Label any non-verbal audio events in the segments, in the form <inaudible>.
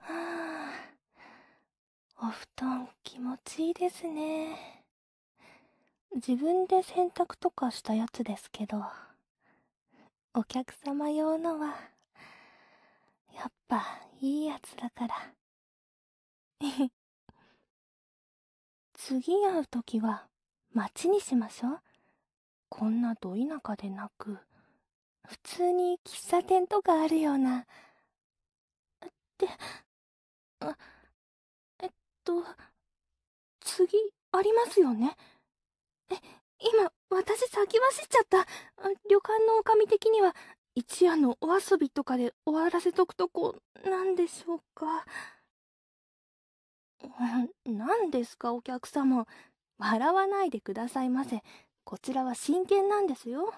はぁ…お布団気持ちいいですね。自分で洗濯とかしたやつですけど、お客様用のは、やっぱいいやつだから。<laughs> 次会う時は、待ちにしましょう。こんなど田舎でなく、普通に喫茶店とかあるような。って、あ、えっと、次、ありますよね。え、今、私先走っちゃった。旅館の女将的には、一夜のお遊びとかで終わらせとくとこ、なんでしょうか。何 <laughs> ですか、お客様。笑わないでくださいませこちらは真剣なんですよ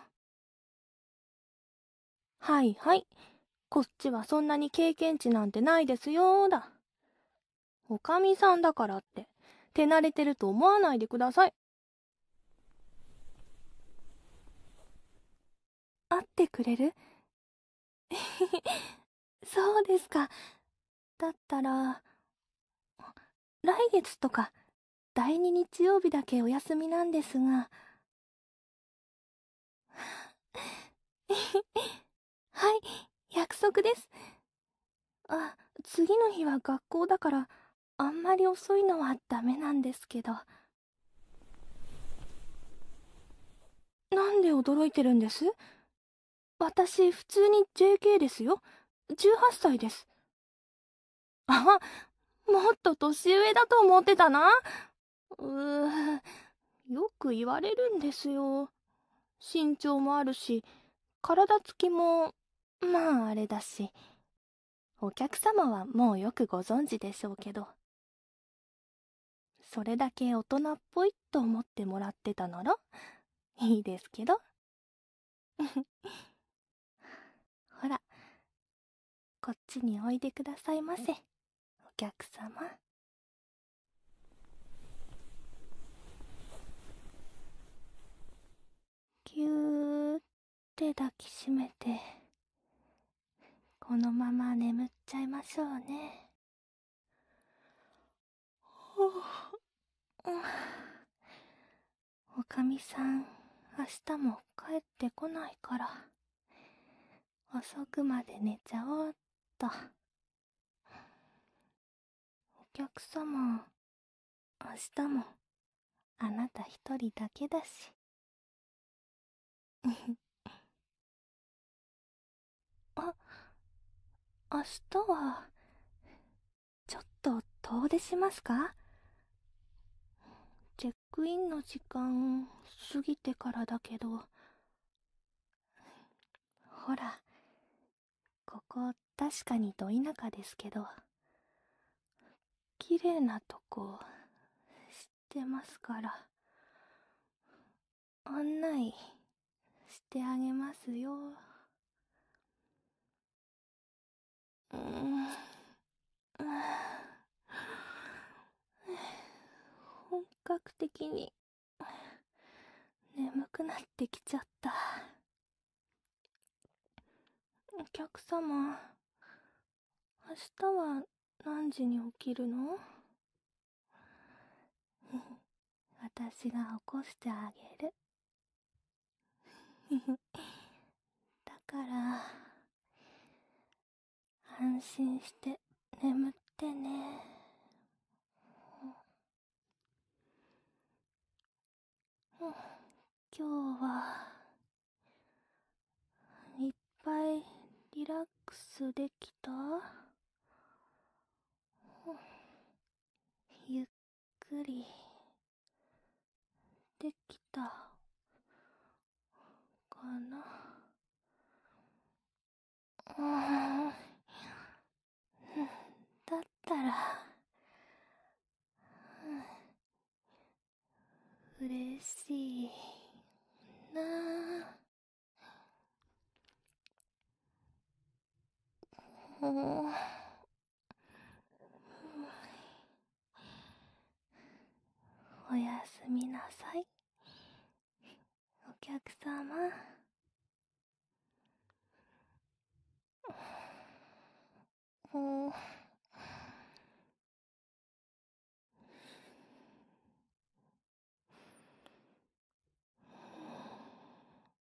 はいはいこっちはそんなに経験値なんてないですよだおかみさんだからって手慣れてると思わないでください会ってくれるえへへ、<laughs> そうですかだったら、来月とか、第2日曜日だけお休みなんですが。<laughs> はい、約束です。あ、次の日は学校だから、あんまり遅いのはダメなんですけど。なんで驚いてるんです私、普通に JK ですよ。18歳です。あ、もっと年上だと思ってたな。うー、よく言われるんですよ。身長もあるし、体つきも、まああれだし。お客様はもうよくご存知でしょうけど。それだけ大人っぽいと思ってもらってたなら、いいですけど。<laughs> ほらこっちにおいでくださいませお客様ぎゅーって抱きしめてこのまま眠っちゃいましょうねはおかみさん、明日も帰ってこないから、遅くまで寝ちゃおうっと。お客様、明日も、あなた一人だけだし。<laughs> あ、明日は、ちょっと遠出しますかチェックインの時間過ぎてからだけど。ほら、ここ確かにど田舎ですけど、綺麗なとこ知ってますから、案内してあげますよ。ん本格的に眠くなってきちゃったお客様明日は何時に起きるの <laughs> 私が起こしてあげるだから安心して眠ってね今日はいっぱいリラックスできたゆっくりできたかなうだったらうれしいなうん <sighs> おやすみなさいお客様んお <sighs>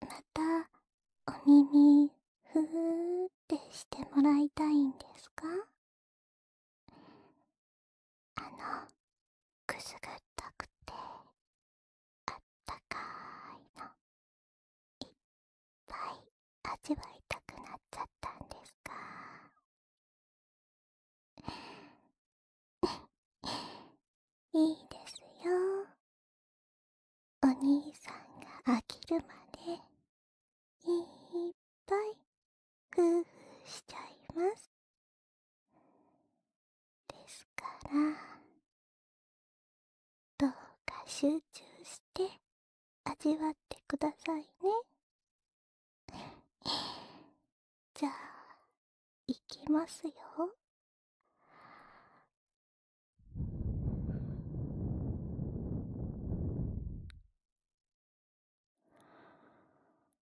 またお耳ふーってしてもらいたいんですかあのくすぐったくてあったかいのいっぱい味わいたくなっちゃったんですか <laughs> いいですよお兄さんが飽きるまでいっぱい工夫しちゃいますですからどうか集中して味わってくださいね <sighs> じゃあいきますよ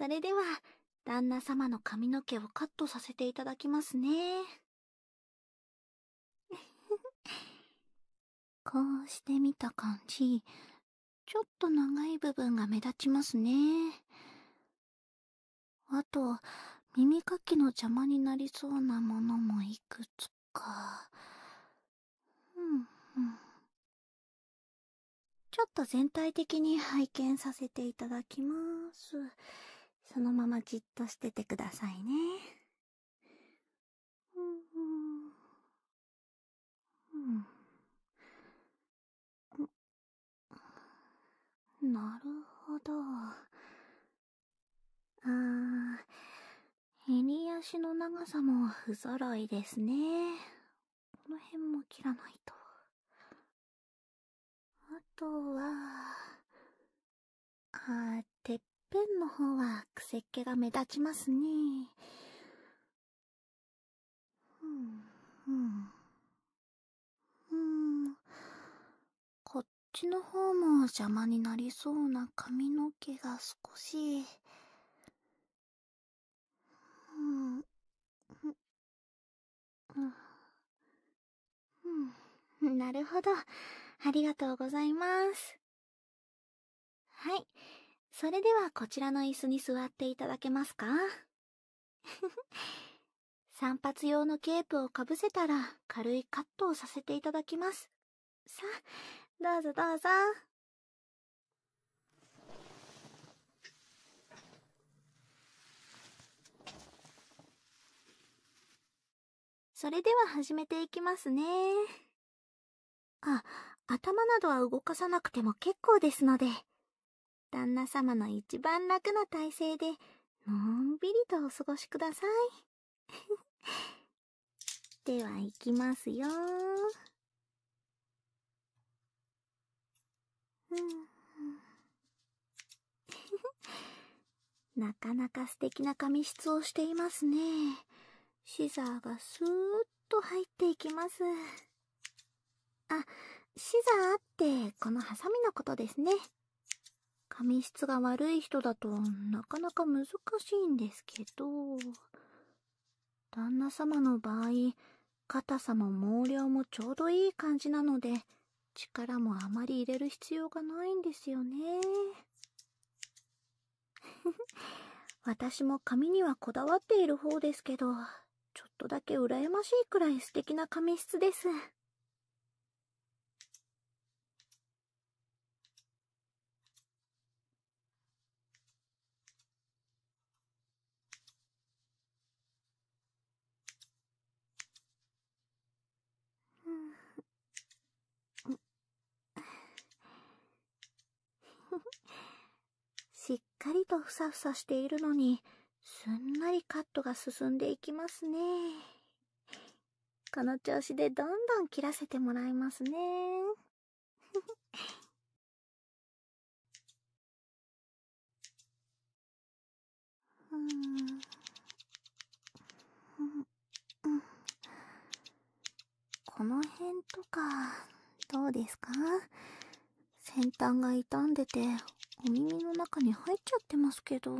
それでは旦那様の髪の毛をカットさせていただきますね <laughs> こうしてみた感じちょっと長い部分が目立ちますね。あと、耳かきの邪魔になりそうなものもいくつか。うんうん、ちょっと全体的に拝見させていただきます。そのままじっとしててくださいね。うんうん、うん。なるほど。あー、襟足の長さも不揃いですね。この辺も切らないと。あとは、あてっぺんの方はくせっ気が目立ちますね。うん、うん、うん、こっちの方も邪魔になりそうな髪の毛が少し。うん、なるほど。ありがとうございます。はい。それではこちらの椅子に座っていただけますか <laughs> 散髪用のケープをかぶせたら軽いカットをさせていただきます。さあ、どうぞどうぞ。それでは始めていきますね。あ、頭などは動かさなくても結構ですので、旦那様の一番楽な体勢で、のんびりとお過ごしください。<laughs> ではいきますようん。<laughs> なかなか素敵な髪質をしていますね。シザーがスーッと入っていきます。あ、シザーってこのハサミのことですね。髪質が悪い人だとなかなか難しいんですけど、旦那様の場合、硬さも毛量もちょうどいい感じなので、力もあまり入れる必要がないんですよね。<laughs> 私も髪にはこだわっている方ですけど、ちょっとだけ羨ましいくらい素敵な髪質です。しっかりとふさふさしているのに、すんなりカットが進んでいきますね。この調子でどんどん切らせてもらいますね。うん。うこの辺とか、どうですか先端が傷んでてお耳の中に入っちゃってますけど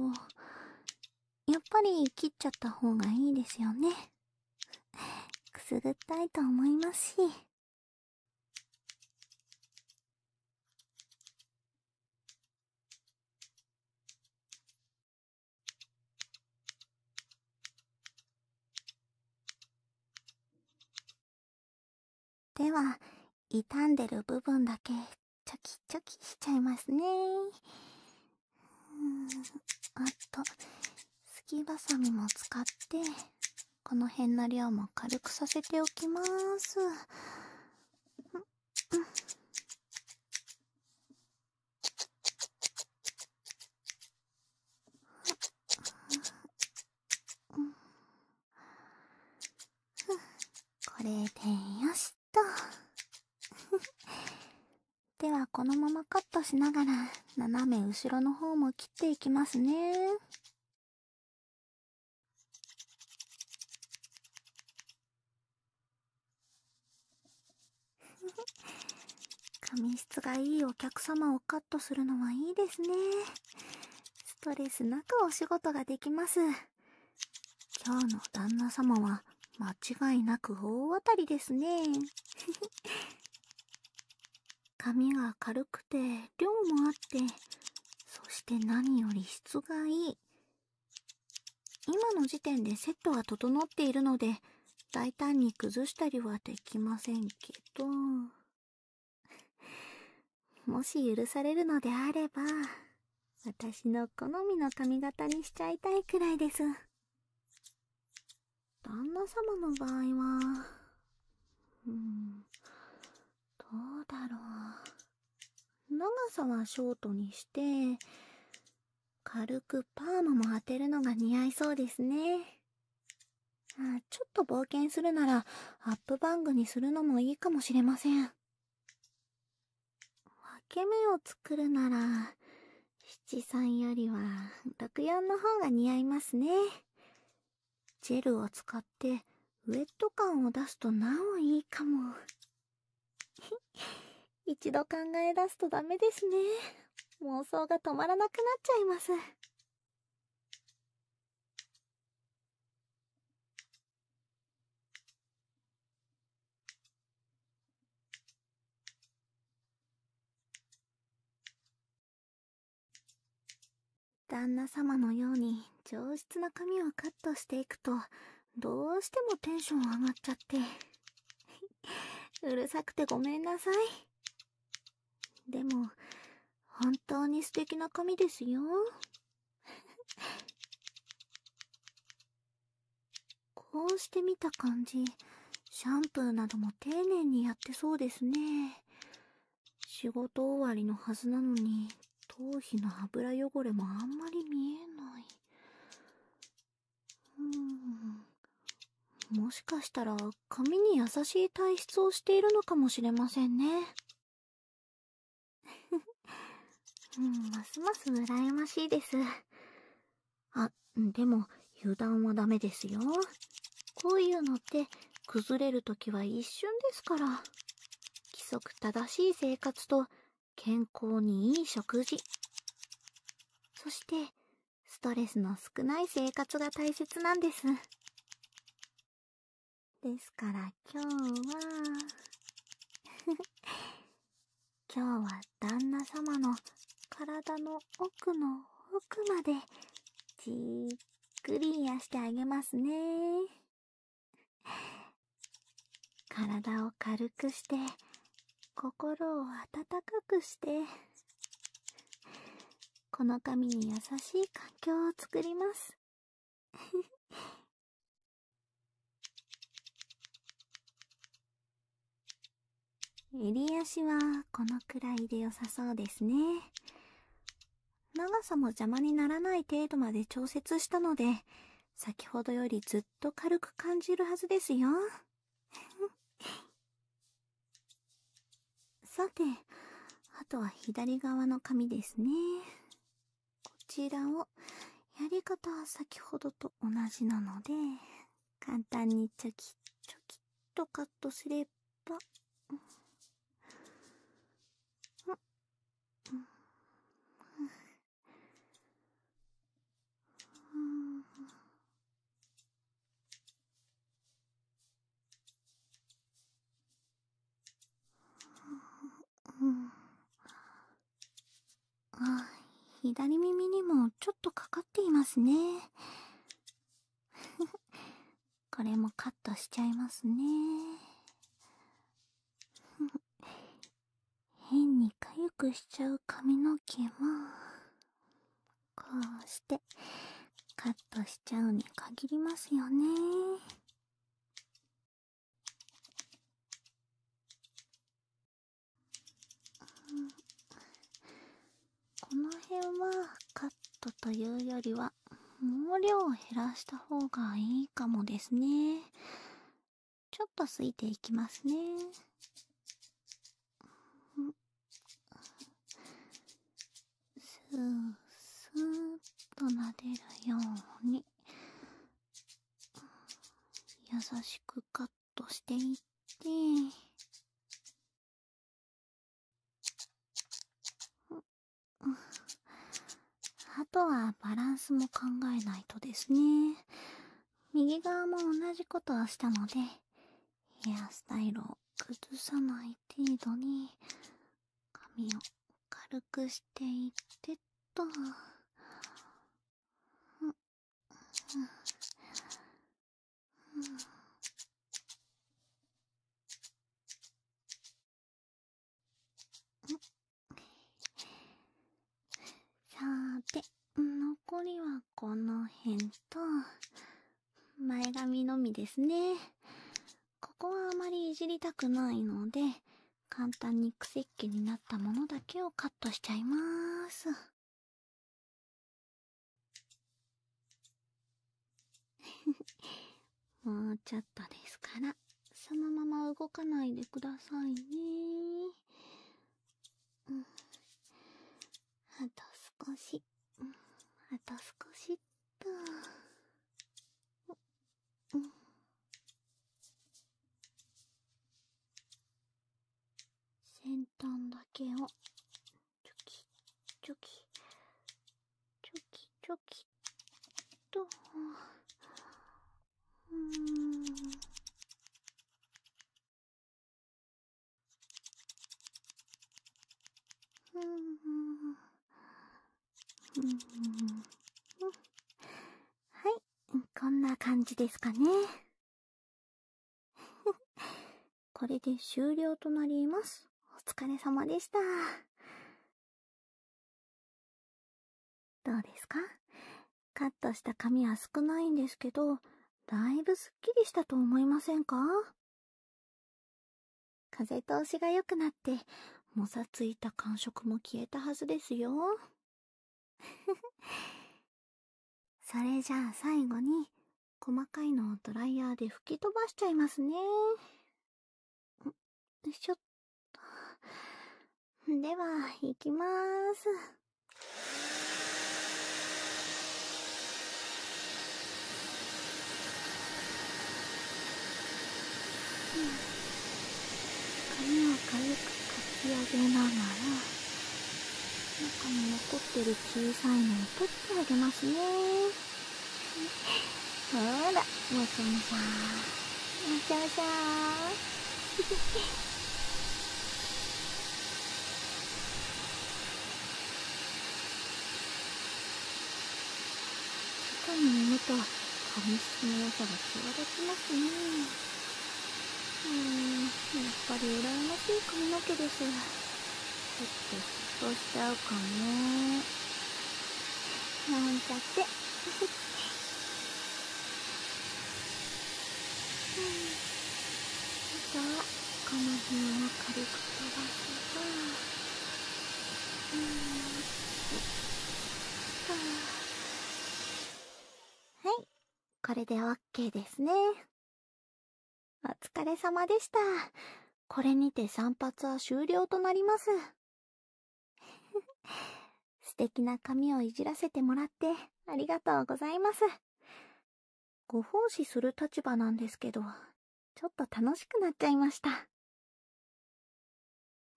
やっぱり切っちゃった方がいいですよねくすぐったいと思いますしでは、傷んでる部分だけ、チョキチョキしちゃいますね。うんあと、すきばさみも使って、この辺の量も軽くさせておきます。うん、うっ…これでよしと <laughs> ではこのままカットしながら斜め後ろの方も切っていきますね <laughs> 髪質がいいお客様をカットするのはいいですね。ストレスなくお仕事ができます。今日の旦那様は間違いなく大当たりですね。<laughs> 髪が軽くて量もあって、そして何より質がいい。今の時点でセットが整っているので、大胆に崩したりはできませんけど。<laughs> もし許されるのであれば、私の好みの髪型にしちゃいたいくらいです。旦那様の場合は、うん、どうだろう。長さはショートにして、軽くパーマも当てるのが似合いそうですね。ちょっと冒険するなら、アップバングにするのもいいかもしれません。分け目を作るなら、七三よりは六四の方が似合いますね。ジェルを使ってウェット感を出すとなおいいかも。<laughs> 一度考え出すとダメですね。妄想が止まらなくなっちゃいます。旦那様のように上質な髪をカットしていくとどうしてもテンション上がっちゃって <laughs> うるさくてごめんなさいでも本当に素敵な髪ですよ。<laughs> こうして見た感じ、シャンプーなども丁寧にやってそうですね。仕事終わりのはずなのに、頭皮の油汚れもあんまり見えない。うん。もしかしたら、髪に優しい体質をしているのかもしれませんね。<laughs> ますます羨ましいです。あ、でも、油断はダメですよ。こういうのって、崩れるときは一瞬ですから。規則正しい生活と、健康にいい食事。そして、ストレスの少ない生活が大切なんです。ですから今日は <laughs> 今日は旦那様の体の奥の奥までじっくり癒してあげますね。体を軽くして、心を温かくして、この髪に優しい環境を作ります。<laughs> 襟足はこのくらいでよさそうですね。長さも邪魔にならない程度まで調節したので、先ほどよりずっと軽く感じるはずですよ。さて、あとは左側の紙ですね。こちらを、やり方は先ほどと同じなので、簡単にチョキチョキっとカットすれば、うんあ左耳にもちょっとかかっていますね <laughs> これもカットしちゃいますね <laughs> 変にかゆくしちゃう髪の毛もこうしてカットしちゃうに限りますよねん。この辺はカットというよりは毛量を減らした方がいいかもですねちょっとすいていきますねスースーっと撫でるように優しくカットしていってあとはバランスも考えないとですね右側も同じことをしたのでヘアスタイルを崩さない程度に髪を軽くしていってと。さーて残りはこの辺と前髪のみですねここはあまりいじりたくないので、簡単に癖っ気になったものだけをカットしちゃいまーす。<laughs> もうちょっとですから、そのまま動かないでくださいねうあと少し、あと少しっと。うん先端だけをチョキチョキチョキチョキとうんうんはい、こんな感じですかね。<laughs> これで終了となります。お疲れ様でした。どうですかカットした髪は少ないんですけど、だいぶスッキリしたと思いませんか風通しがよくなって、もさついた感触も消えたはずですよ。<laughs> それじゃあ最後に、細かいのをドライヤーで吹き飛ばしちゃいますね。しょっと。では、いきまーす。髪を軽くかき上げながら中に残ってる小さいのを取ってあげますねほらもさもしゃーもしもしゃーあ世のものと紙質の良さが際立ちますねうんやっぱり羨ましい髪の毛ですちょっと嫉妬しちゃうかね。なんちゃってうんっとはこの辺を軽く飛ばせばはい、これで OK ですね。お疲れ様でした。これにて散髪は終了となります。<laughs> 素敵な髪をいじらせてもらってありがとうございます。ご奉仕する立場なんですけど、ちょっと楽しくなっちゃいました。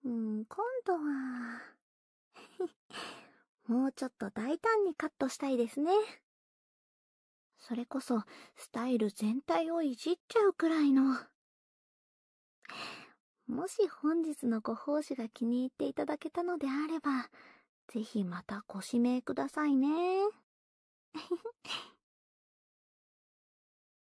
うん、今度は <laughs> もうちょっと大胆にカットしたいですね。それこそ、スタイル全体をいじっちゃうくらいの。もし本日のご奉仕が気に入っていただけたのであれば、ぜひまたご指名くださいね。